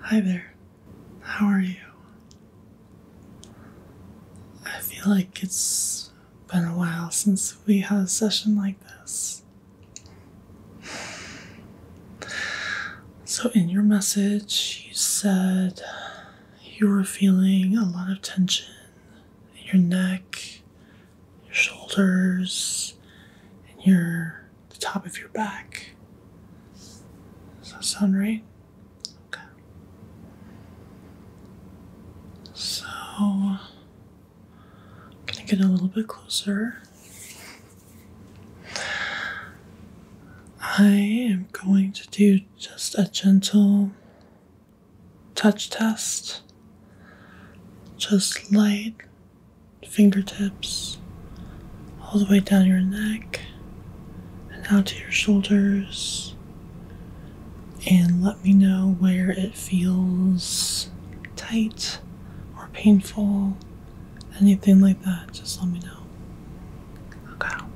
Hi there, how are you? I feel like it's been a while since we had a session like this. So, in your message, you said you were feeling a lot of tension in your neck, your shoulders, and your the top of your back. Does that sound right? Okay. So, I'm gonna get a little bit closer. I am going to do just a gentle touch test, just light fingertips, all the way down your neck and out to your shoulders. And let me know where it feels tight or painful, anything like that. Just let me know. Okay. I'm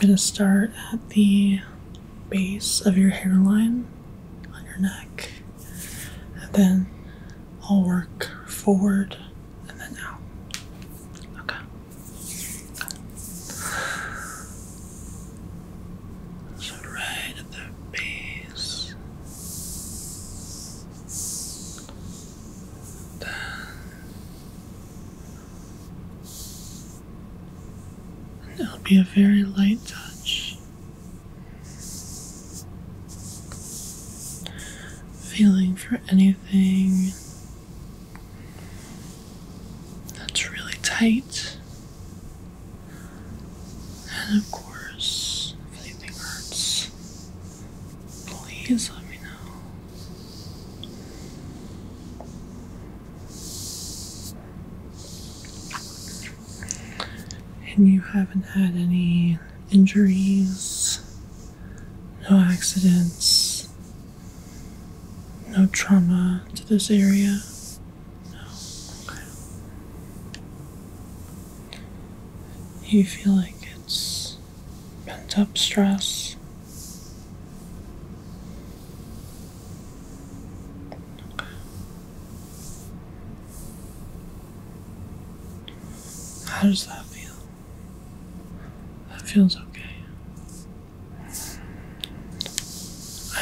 going to start at the base of your hairline on your neck, and then I'll work forward and then out. Okay. So, right at the base, then it'll be a very light touch. Feeling for anything that's really tight. And of course, if anything hurts, please let me know. And you haven't had any injuries, no accidents, no trauma to this area. No. Okay. You feel like it's pent up stress. Okay. How does that feel? That feels okay.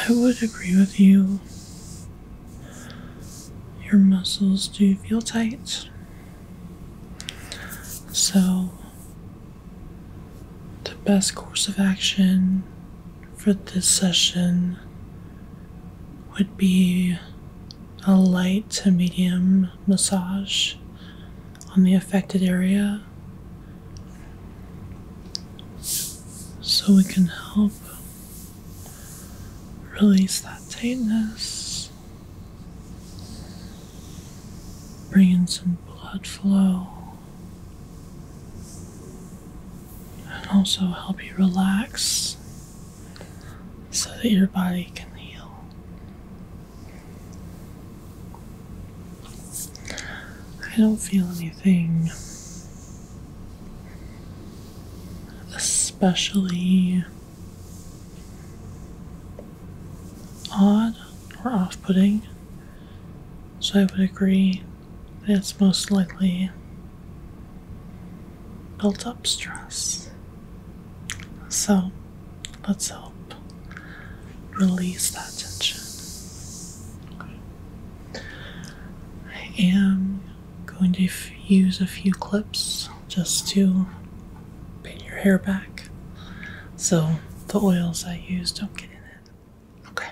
I would agree with you. Your muscles do feel tight. So, the best course of action for this session would be a light to medium massage on the affected area so we can help release that tightness, bring in some blood flow and also help you relax so that your body can heal. I don't feel anything especially odd or off putting, so I would agree that it's most likely built up stress. So let's help release that tension. I am going to use a few clips just to pin your hair back so the oils I use don't get in it. Okay.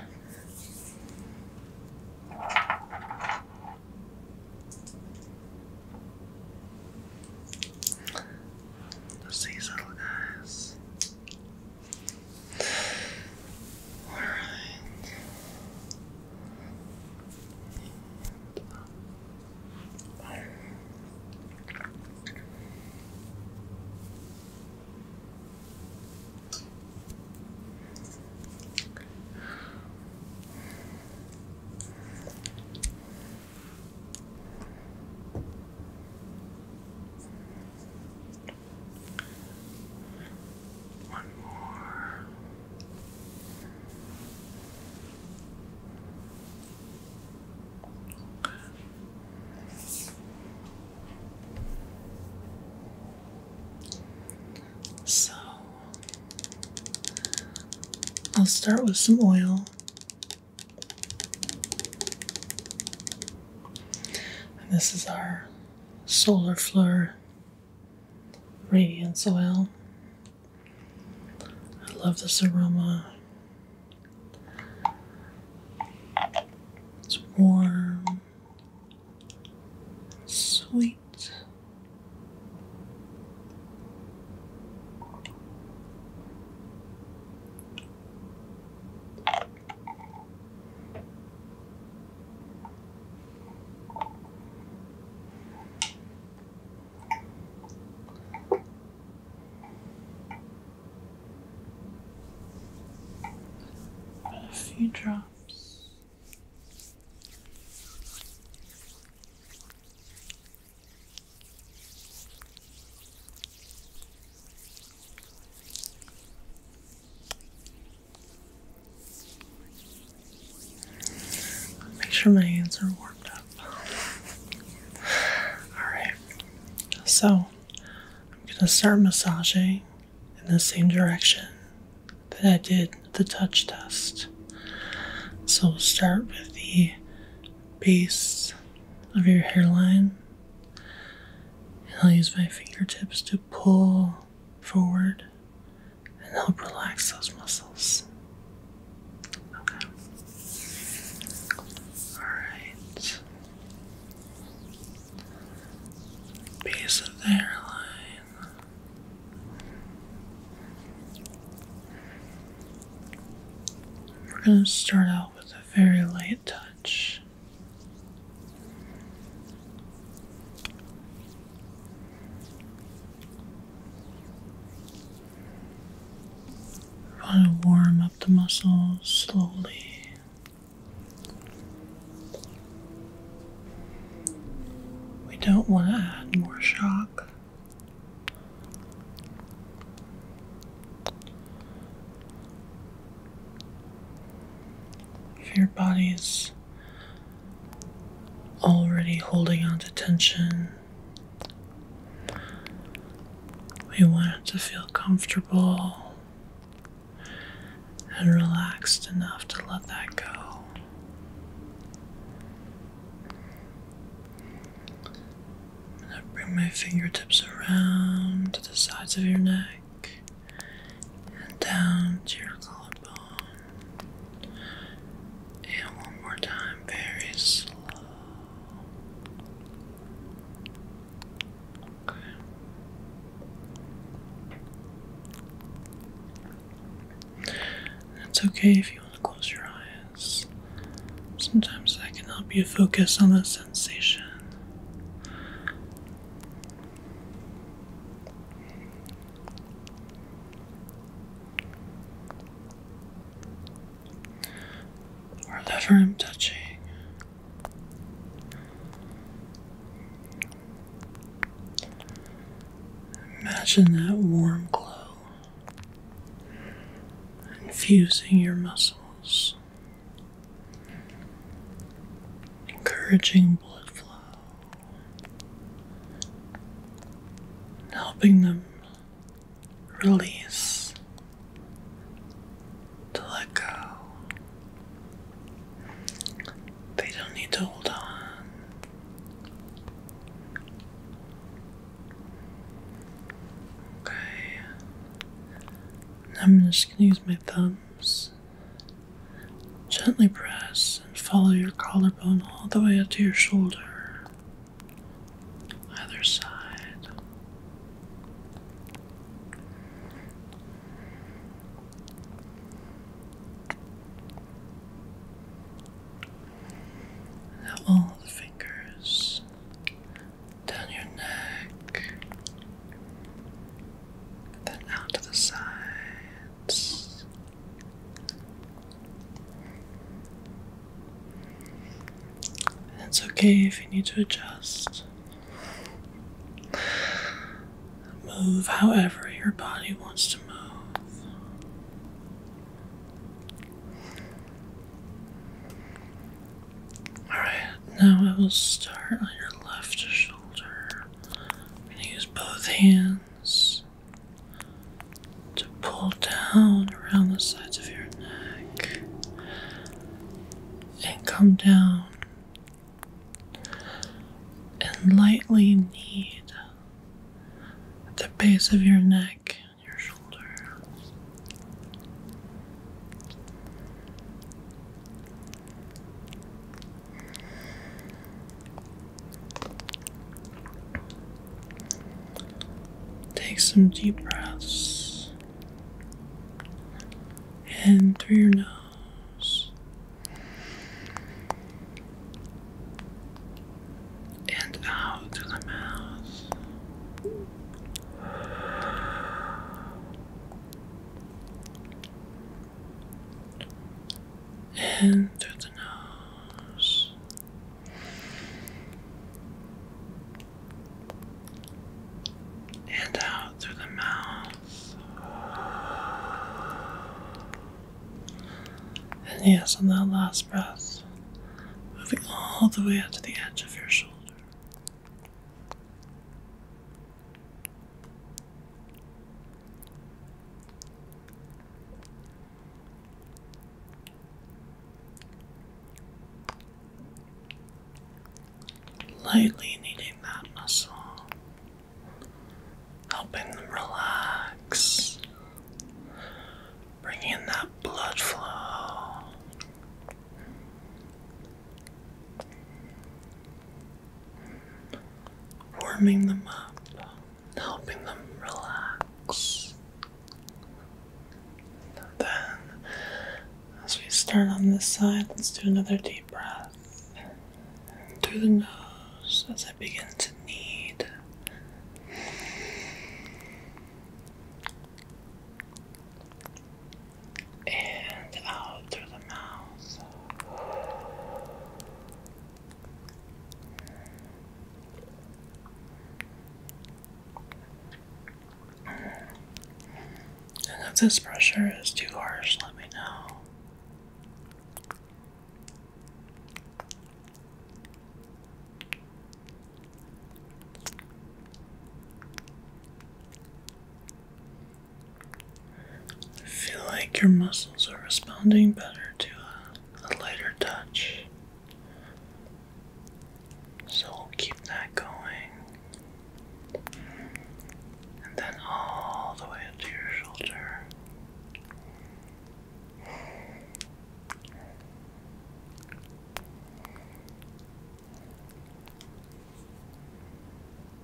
Let's see little guys. All right. One more. Okay. So I'll start with some oil. And this is our solar Flare Radiant oil. I love this aroma. It's warm, Sweet. But if you Make sure my hands are warmed up. Alright, so I'm going to start massaging in the same direction that I did the touch test. So we'll start with the base of your hairline. And I'll use my fingertips to pull forward and help relax those muscles. Okay. Alright. Piece of the airline. We're going to start out with a very light touch. I want to warm up the muscles slowly. We don't want to add more shock. If your body's already holding on to tension, we want it to feel comfortable and relaxed enough to let that go. I'm going to bring my fingertips around to the sides of your neck and down to your collarbone. And one more time, very slow. It's okay if you want to close your eyes. Sometimes that can help you focus on the sensation. whatever I'm touching. Imagine that warm glow infusing your muscles, encouraging blood flow, helping them release to let go. They don't need to hold on. Okay. I'm just going to use my thumbs. Gently press and follow your collarbone all the way up to your shoulder. Either side. Now all the fingers down your neck, then out to the sides. And it's okay if you need to adjust. Move however your body wants to move. Alright, now I will start on your left shoulder. I'm going to use both hands to pull down around the sides of your neck and come down and lightly knead the base of your neck and your shoulder. Take some deep breaths. And through your nose and out through the mouth. In through the nose and out through the mouth. And yes, on that last breath, moving all the way up to the edge of your shoulder. Lightly kneading that muscle, helping them relax, bringing that blood flow. Warming them up, helping them relax, then, as we start on this side, let's do another deep breath through the nose as I begin to knead. And out through the mouth. And if this pressure is too harsh, let me know. I feel like your muscles are responding better to a lighter touch. So keep that going. And then all the way up your shoulder.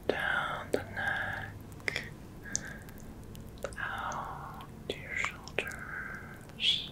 Down the neck, out to your shoulders,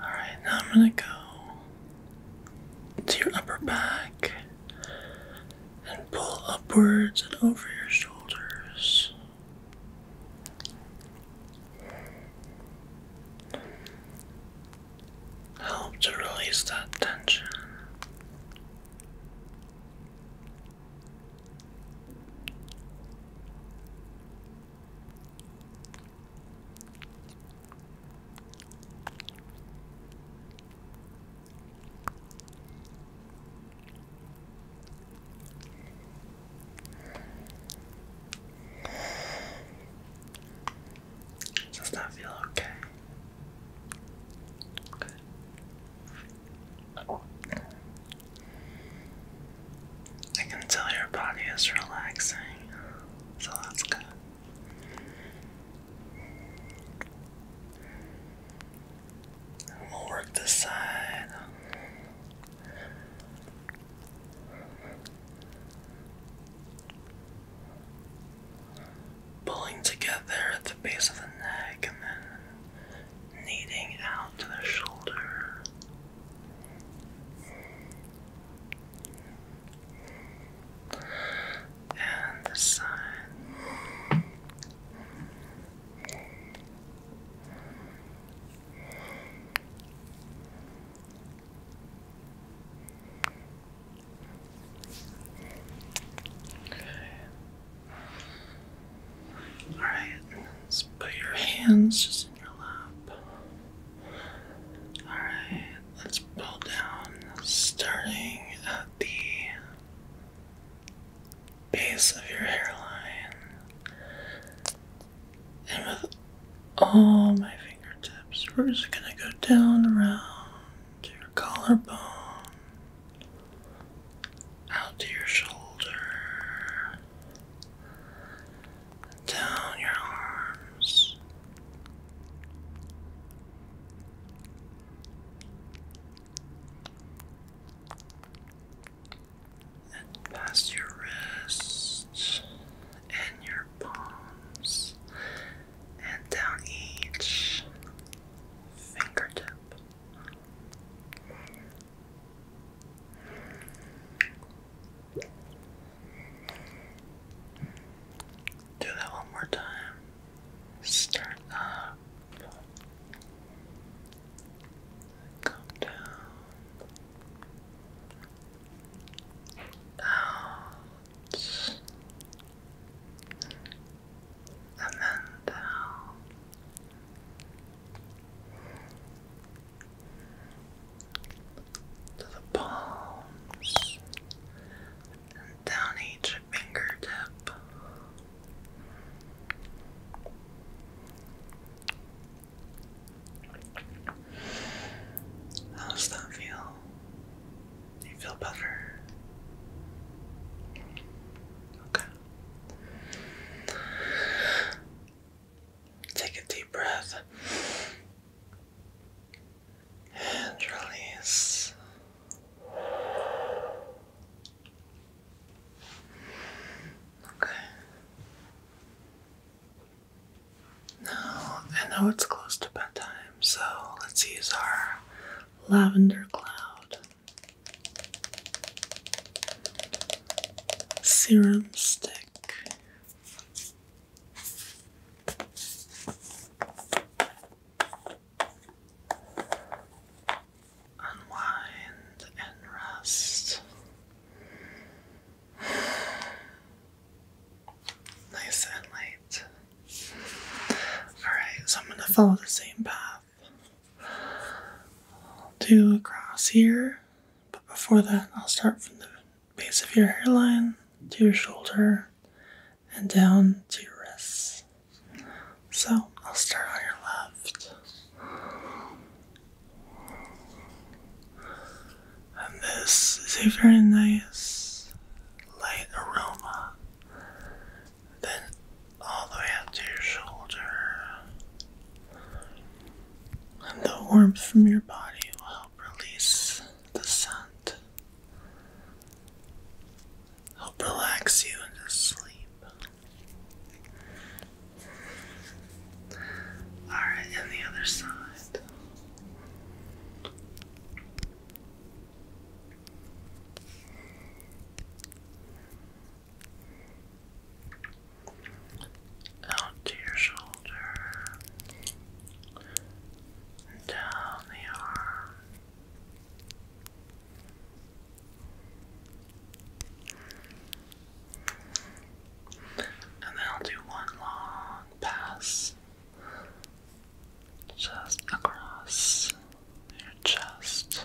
Alright, now I'm gonna go to your upper back and pull upwards and over your shoulders. Help to release that tension. Does that feel okay? I can tell your body is relaxing, so that's good. I'm work this side. Pulling together at the base of the neck and then kneading out to the shoulder and the sun. Okay. All right, let's put your hands just in your lap. Alright, let's pull down starting at the base of your hairline and with all my fingertips, we're just gonna go down around your collarbone, out to your shoulder, down your arms. And past your wrists and your palms, and down each fingertip. Do that one more time. Start up. Come down. Out. And then down to the palms and down each fingertip. How does that feel? you feel better? Okay. Take a deep breath and release. Okay. Now, I know it's close to bedtime, so let's use our lavender cloud serum stick. Unwind and rest. Nice and light. Alright, so I'm going to follow the same path. i across here but before that, I'll start from the base of your hairline to your shoulder and down to your wrists. So I'll start on your left. And this is a very nice light aroma. Then all the way up to your shoulder and the warmth from your body will help release the scent, help relax you into sleep. Alright, and the other side out to your shoulder, down the arm. And then I'll do one long pass just across your chest.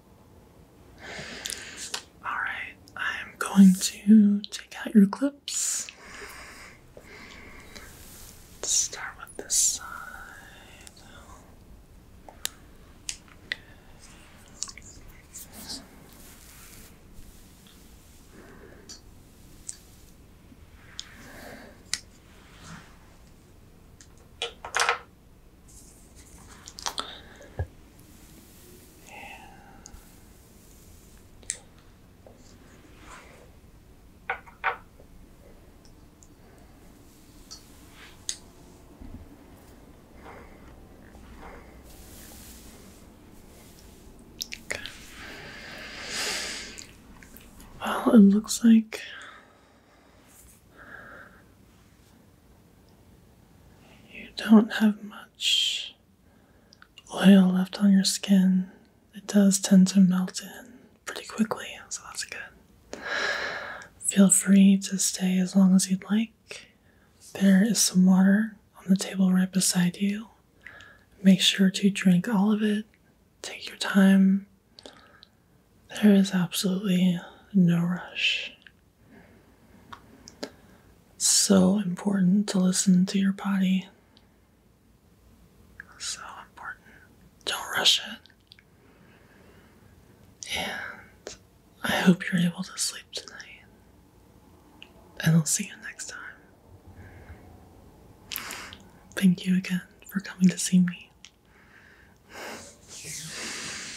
Alright, I'm going to take out your clips. start with this side. Okay. Well, it looks like you don't have much oil left on your skin. It does tend to melt in pretty quickly, so that's good. Feel free to stay as long as you'd like. There is some water on the table right beside you. Make sure to drink all of it. Take your time. There is absolutely no rush. So important to listen to your body. So important. Don't rush it. And I hope you're able to sleep tonight. And I'll see you next time. Thank you again for coming to see me.